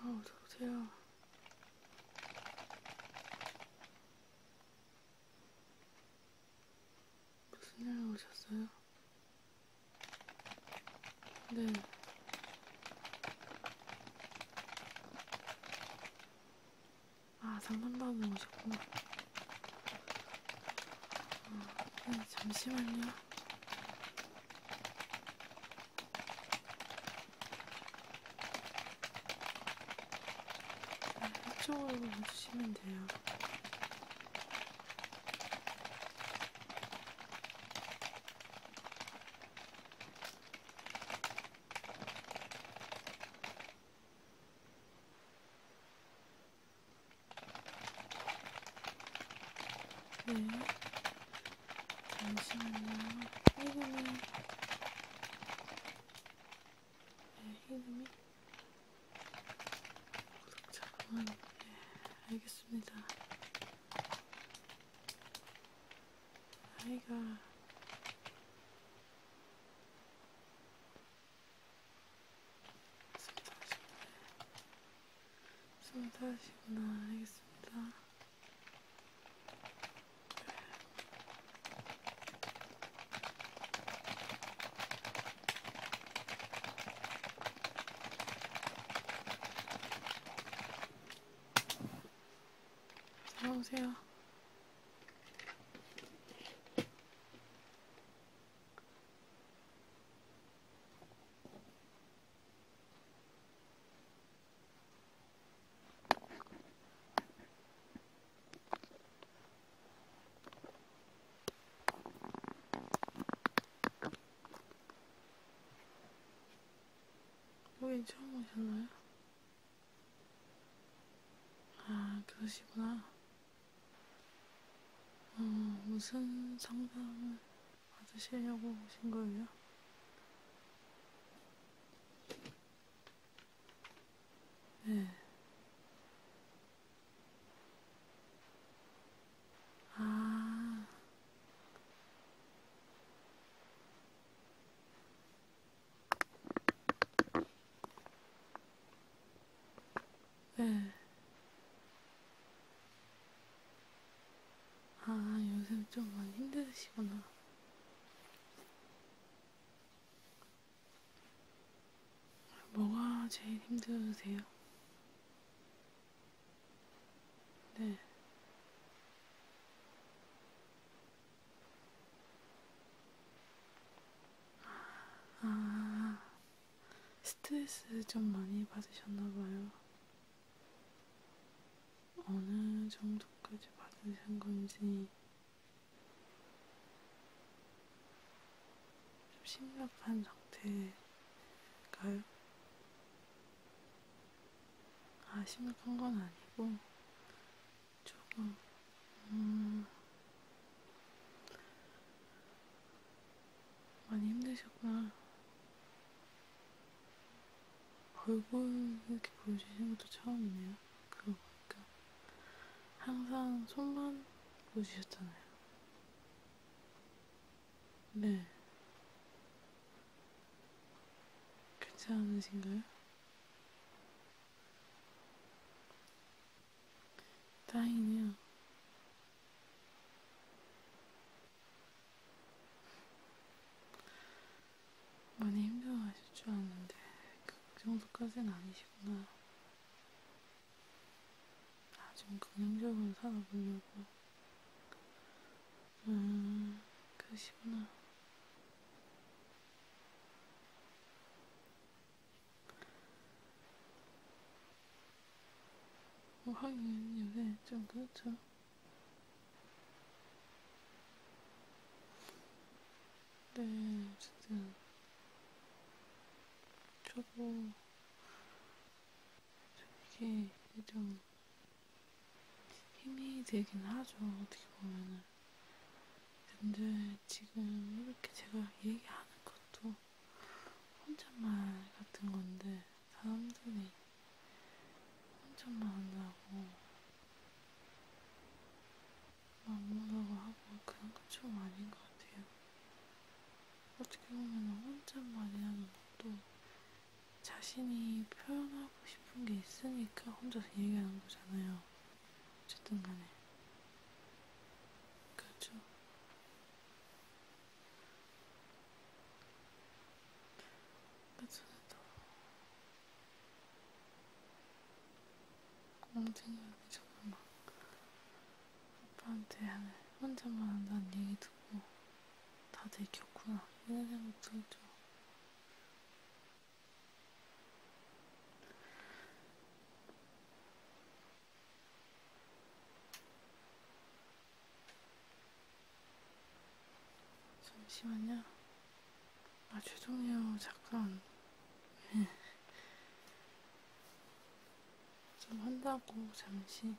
아, 어서오세요. 무슨 일로 오셨어요? 네. 아, 상담방에 오셨구나. 아, 잠시만요. 아, 이쪽으로 와주시면 돼요. 네. 잠시만요. 흰음이. 네, 흰음이. 잠깐만. 네, 알겠습니다. 아이가. 스무다시구나 알겠습니다. 네. 들어오세요. 여기 뭐 처음 오셨나요? 아, 그러시구나. 어, 무슨 상담을 받으시려고 오신 거예요? 네. 아. 네. 아, 요즘 좀 많이 힘드시구나. 뭐가 제일 힘드세요? 네. 아, 스트레스 좀 많이 받으셨나봐요. 어느 정도까지 받으신 건지 좀 심각한 상태일까요? 아, 심각한 건 아니고 조금 음... 많이 힘드셨구나. 얼굴 이렇게 보여주시는 것도 처음이네요. 그러고 보니까. 항상 손만 보여주셨잖아요. 네. 괜찮으신가요? 다행이야. 많이 힘들어하실 줄 알았는데 그 정도까지는 아니시구나. 아좀 긍정적으로 살아보려고. 음, 그러시구나. 뭐 하긴 요새 좀 그렇죠. 네, 진짜 저도 이게 좀 힘이 되긴 하죠. 어떻게 보면은. 근데 지금 이렇게 제가 얘기하는 것도 혼잣말 같은 건데 사람들이 혼잣말 한다고 막 뭐라고 하고 그런 건좀 아닌 것 같아요. 어떻게 보면 혼잣말이라는 것도 자신이 표현하고 싶은 게 있으니까 혼자서 얘기하는 거잖아요. 어쨌든 간에. 그죠? 그전에도 멍청이 자꾸 막 아빠한테 혼자만 한다는 얘기 듣고 다들 겪구나 이런 생각 들죠. 잠시만요. 아, 죄송해요. 잠깐. 네. 좀 한다고, 잠시.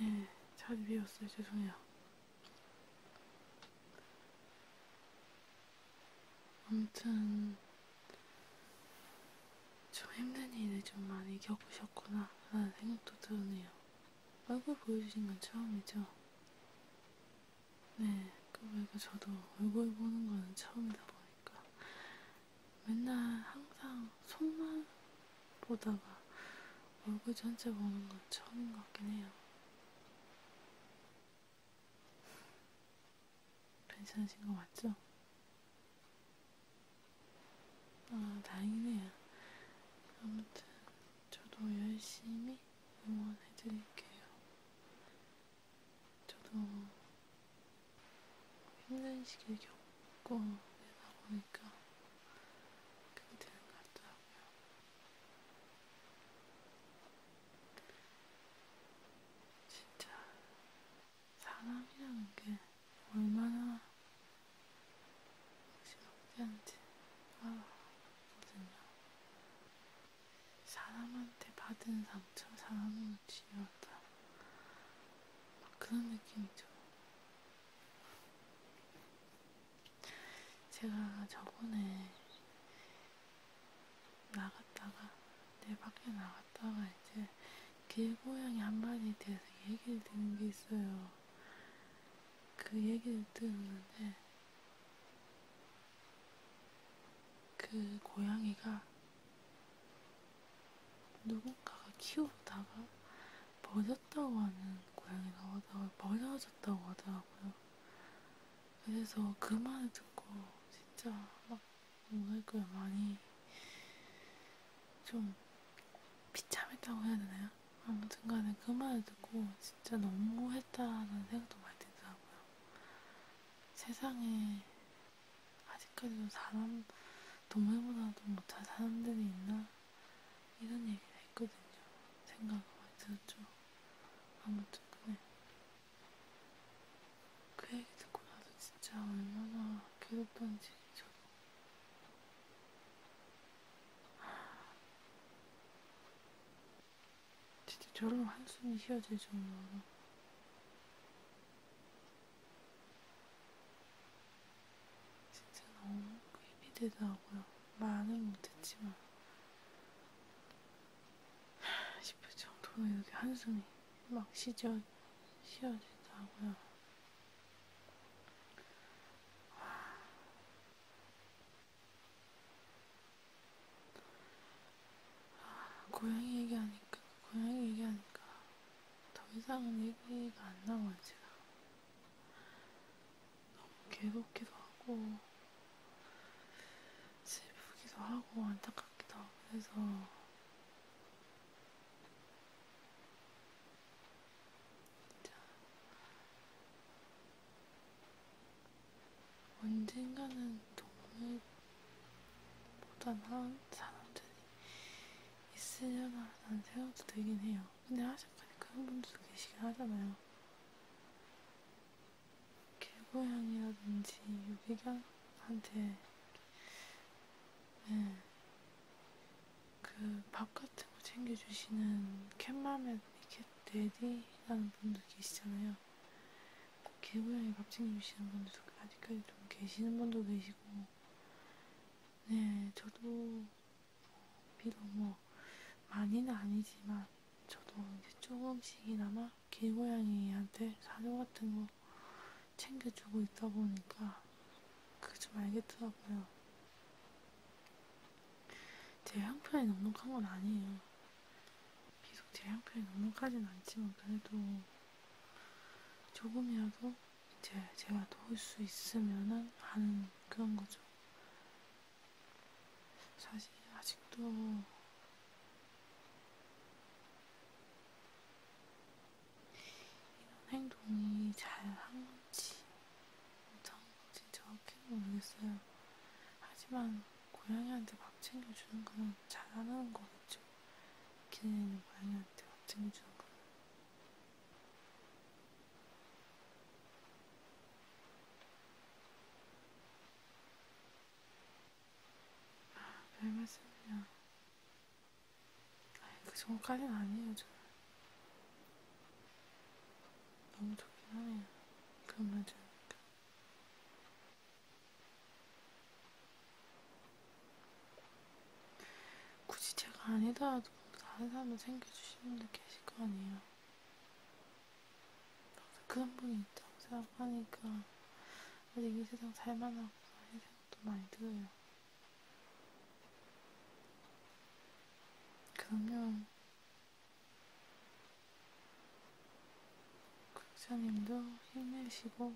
예, 잘 미웠어요. 죄송해요. 아무튼, 좀 힘든 일을 좀 많이 겪으셨구나 라는 생각도 드네요. 얼굴 보여주신 건 처음이죠? 네, 그러니까 저도 얼굴 보는 거는 처음이다 보니까 맨날 항상 손만 보다가 얼굴 전체 보는 건 처음인 것 같긴 해요. 괜찮으신 거 맞죠? 아, 다행이네요. 아무튼, 저도 열심히 응원해드릴게요. 저도 힘든 시기를 겪고 내다 보니까 그게 되는 것 같더라고요. 진짜 사람이라는 게 얼마나 무시무시한지 알거든요. 사람한테 받은 상처 사람으로 치유하다. 막 그런 느낌이죠. 제가 저번에 나갔다가 내 밖에 나갔다가 이제 길고양이 한 마리에 대해서 얘기를 듣는 게 있어요. 그 얘기를 들었는데 그 고양이가 누군가가 키우다가 버렸다고 하는 고양이가 오다가 버려졌다고 하더라고요. 그래서 그 말을 듣고 진짜 막 뭐랄까요, 많이 좀 비참했다고 해야 되나요? 아무튼 간에 그 말을 듣고 진짜 너무했다는 생각도 많이 들더라고요. 세상에 아직까지도 사람, 동물보다도 못한 사람들이 있나? 이런 얘기를 했거든요. 생각을 많이 들었죠. 아무튼 그래. 그 얘기 듣고 나서 진짜 얼마나 괴롭던지 저도 진짜 저런 한숨이 쉬어질 정도로 진짜 너무 힘이 되더라고요. 말은 못했지만 싶을 정도로 이렇게 한숨이 막 시절 쉬어지더라고요. 아, 고양이 얘기하니까, 고양이 얘기하니까 더 이상은 얘기가 안 나와요, 제가. 너무 괴롭기도 하고, 슬프기도 하고, 안타깝기도 하고, 그래서 자, 언젠가는 동물보다는 사람들이 있으려나라는 생각도 들긴 해요. 근데 하실거니까 그런 분들도 계시긴 하잖아요. 개고양이라든지 유기견한테 네, 그밥 같은 거 챙겨주시는 캣맘에 이렇게 내디라는 분들 계시잖아요. 개고양이 밥 챙겨주시는 분들도 아직까지 좀 계시는 분도 계시고, 네, 저도 비록 뭐 많이는 아니지만 저도 이제 조금씩이나마 개고양이한테 사료 같은 거 챙겨주고 있다 보니까 그게 좀 알겠더라고요. 제 형편이 넉넉한 건 아니에요. 비록 제 형편이 넉넉하진 않지만 그래도 조금이라도 이제 제가 도울 수 있으면은 하는 그런 거죠. 사실 아직도 이런 행동이 잘 한 건지 못한 건지 정확히는 모르겠어요. 하지만 고양이한테 밥 챙겨주는 건 잘하는 거겠죠. 기내는 고양이한테 밥 챙겨주는 건. 아, 별 말씀이야. 아니, 그 정도까지는 아니에요, 저는. 너무 좋긴 하네요. 그런 말 들으니까. 굳이 제가 아니더라도 다른 사람을 챙겨주시는 분들 계실 거 아니에요. 항상 그런 분이 있다고 생각하니까 아직 이 세상 살만하구나 이 생각도 많이 들어요. 그러면 국장님도 힘내시고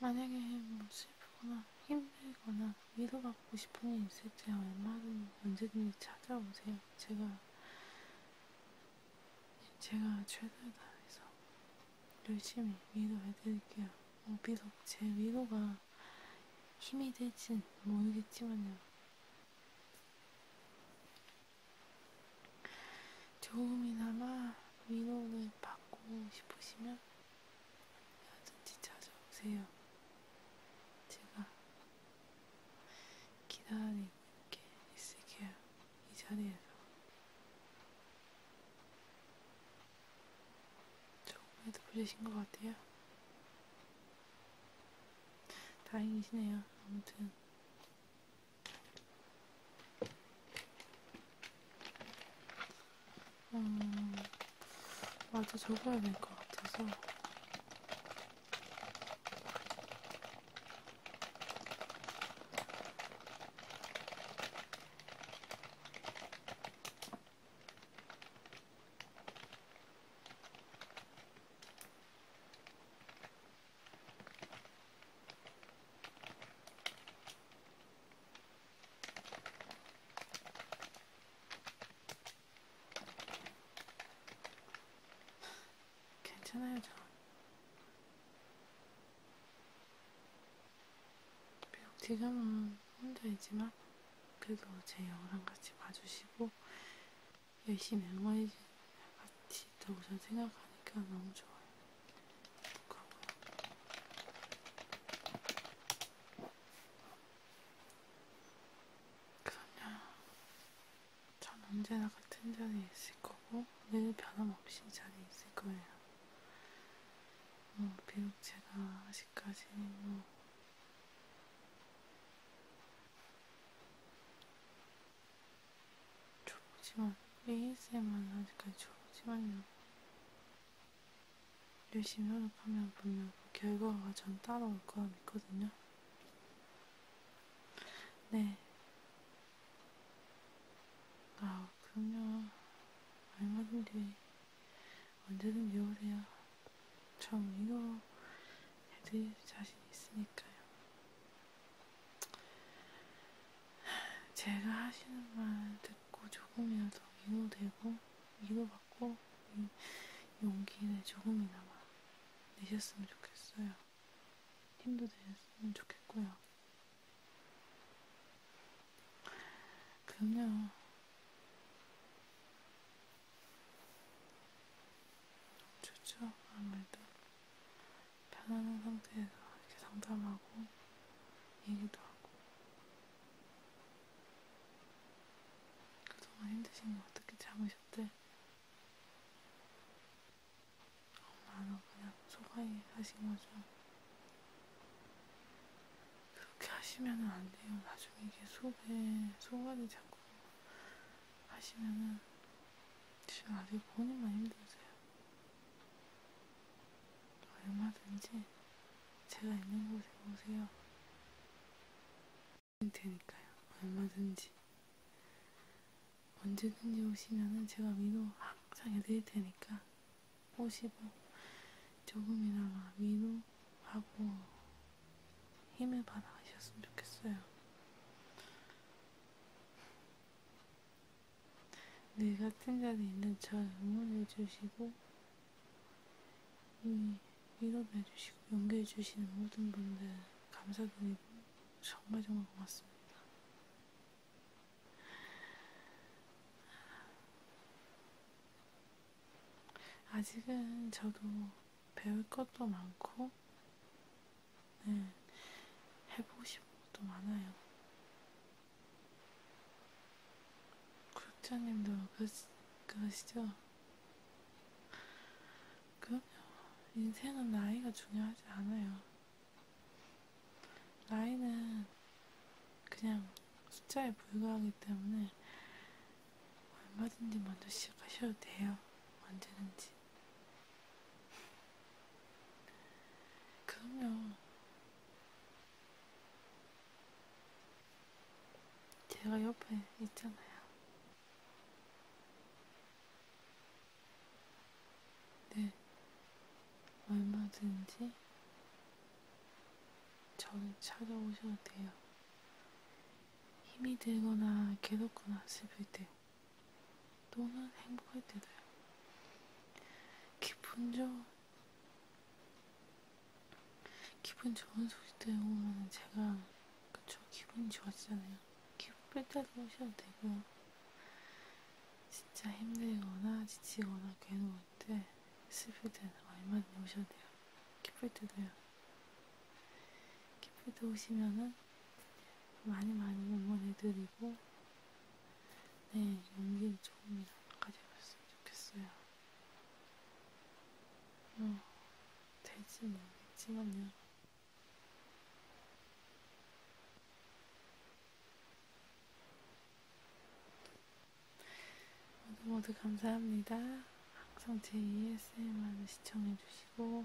만약에 뭐 슬프거나 힘들거나 위로받고 싶은 일 있을 때 얼마든 언제든지 찾아오세요. 제가 제가 최선을 다해서 열심히 위로해드릴게요. 어, 비록 제 위로가 힘이 될진 모르겠지만요. 조금이나마 위로를 받고 싶으시면 어든지 찾아오세요. 제가 기다릴게 있을게요. 이 자리에서. 조금이라도 풀리신 것 같아요. 다행이시네요. 아무튼. 음, 맞아, 적어야 될 것 같아서. 괜찮아요, 저. 비록 지금은 혼자이지만 그래도 제 영상 같이 봐주시고 열심히 응원해 주는 같이 있다고 저는 생각하니까 너무 좋아요. 그러고요. 그럼요. 전 언제나 같은 자리에 있을 거고 늘 변함없이 자리에 있을 거예요. 어, 비록 제가 아직까지는 뭐 초보지만 ASMR은 아직까지 초보지만요. 열심히 노력하면 분명 그 결과가 전 따라올 거라 믿거든요. 네. 아, 그럼요. 얼마든지 언제든지 오세요. 전 이거 해드릴 자신 있으니까요. 제가 하시는 말 듣고 조금이라도 위로되고 위로받고 용기를 조금이나마 내셨으면 좋겠어요. 힘도 되셨으면 좋겠고요. 그럼요. 좋죠. 아무래도 편안한 상태에서 이렇게 상담하고 얘기도 하고 그동안 힘드신 거 어떻게 참으셨대? 엄마는 그냥 소화해 하신 거죠. 그렇게 하시면 안 돼요. 나중에 이게 속에 소관이 자꾸 하시면은 지금 아직 본인만 힘들으세요. 얼마든지 제가 있는 곳에 오세요. 되니까요. 얼마든지 언제든지 오시면은 제가 민호 항상 해드릴 테니까 50원 조금이나마 민호하고 힘을 받아가셨으면 좋겠어요. 늘 같은 자리에 있는 저 응원해주시고 위로해주시고 연결해주시는 모든 분들 감사드리고 정말 정말 고맙습니다. 아직은 저도 배울 것도 많고, 네, 해보고 싶은 것도 많아요. 구독자님도 그러시, 그러시죠? 그럼요. 인생은 나이가 중요하지 않아요. 나이는 그냥 숫자에 불과하기 때문에 얼마든지 먼저 시작하셔도 돼요. 언제든지. 그럼요. 제가 옆에 있잖아요. 네, 얼마든지 저를 찾아오셔도 돼요. 힘이 들거나 괴롭거나 슬플 때, 또는 행복할 때도요. 기분 좋은, 기분 좋은 소식들 오면 제가, 그쵸, 기분이 좋아지잖아요. 기분 뺄 때도 오셔도 되고, 진짜 힘들거나 지치거나 괴로운 때 네, 스피드 얼마든지 오셔도 돼요. 기쁠 때도요. 기쁠 때 오시면은 많이 많이 응원해드리고 네 연기 조금 가져갔으면 좋겠어요. 뭐 될지 모르겠지만요. 모두 모두 감사합니다. 항상 제 ESM만 시청해주시고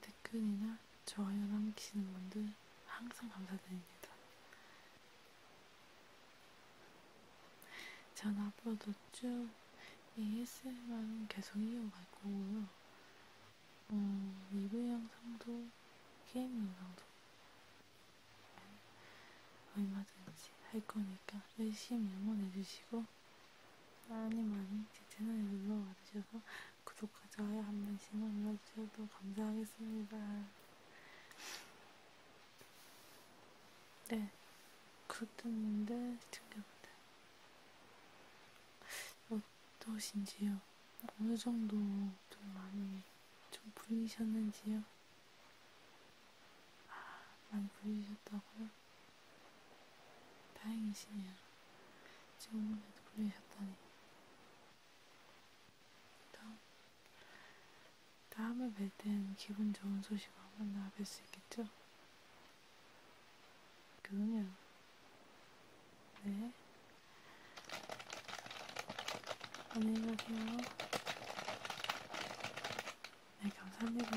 댓글이나 좋아요 남기시는 분들 항상 감사드립니다. 전 앞으로도 쭉 ASMR은 e 계속 이어갈 거고요. 음, 리뷰 영상도 게임 영상도 얼마든지 할 거니까 열심히 응원해주시고 많이 많이 제 채널에 놀러와 주셔서 구독과 좋아요 한 번씩 눌러주셔도 감사하겠습니다. 네, 구독자님들, 시청자분들. 어, 어떠신지요? 어느 정도 좀 많이 좀 불리셨는지요? 아, 많이 불리셨다고요? 다행이시네요. 지금까지도 불리셨다니. 다음, 다음에 뵐땐 기분 좋은 소식으로 만나 뵐수 있겠죠? 그럼요. 네. 안녕히 가세요. 네, 감사합니다.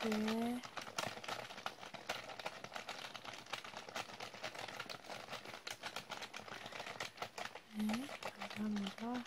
네. 네, 감사합니다.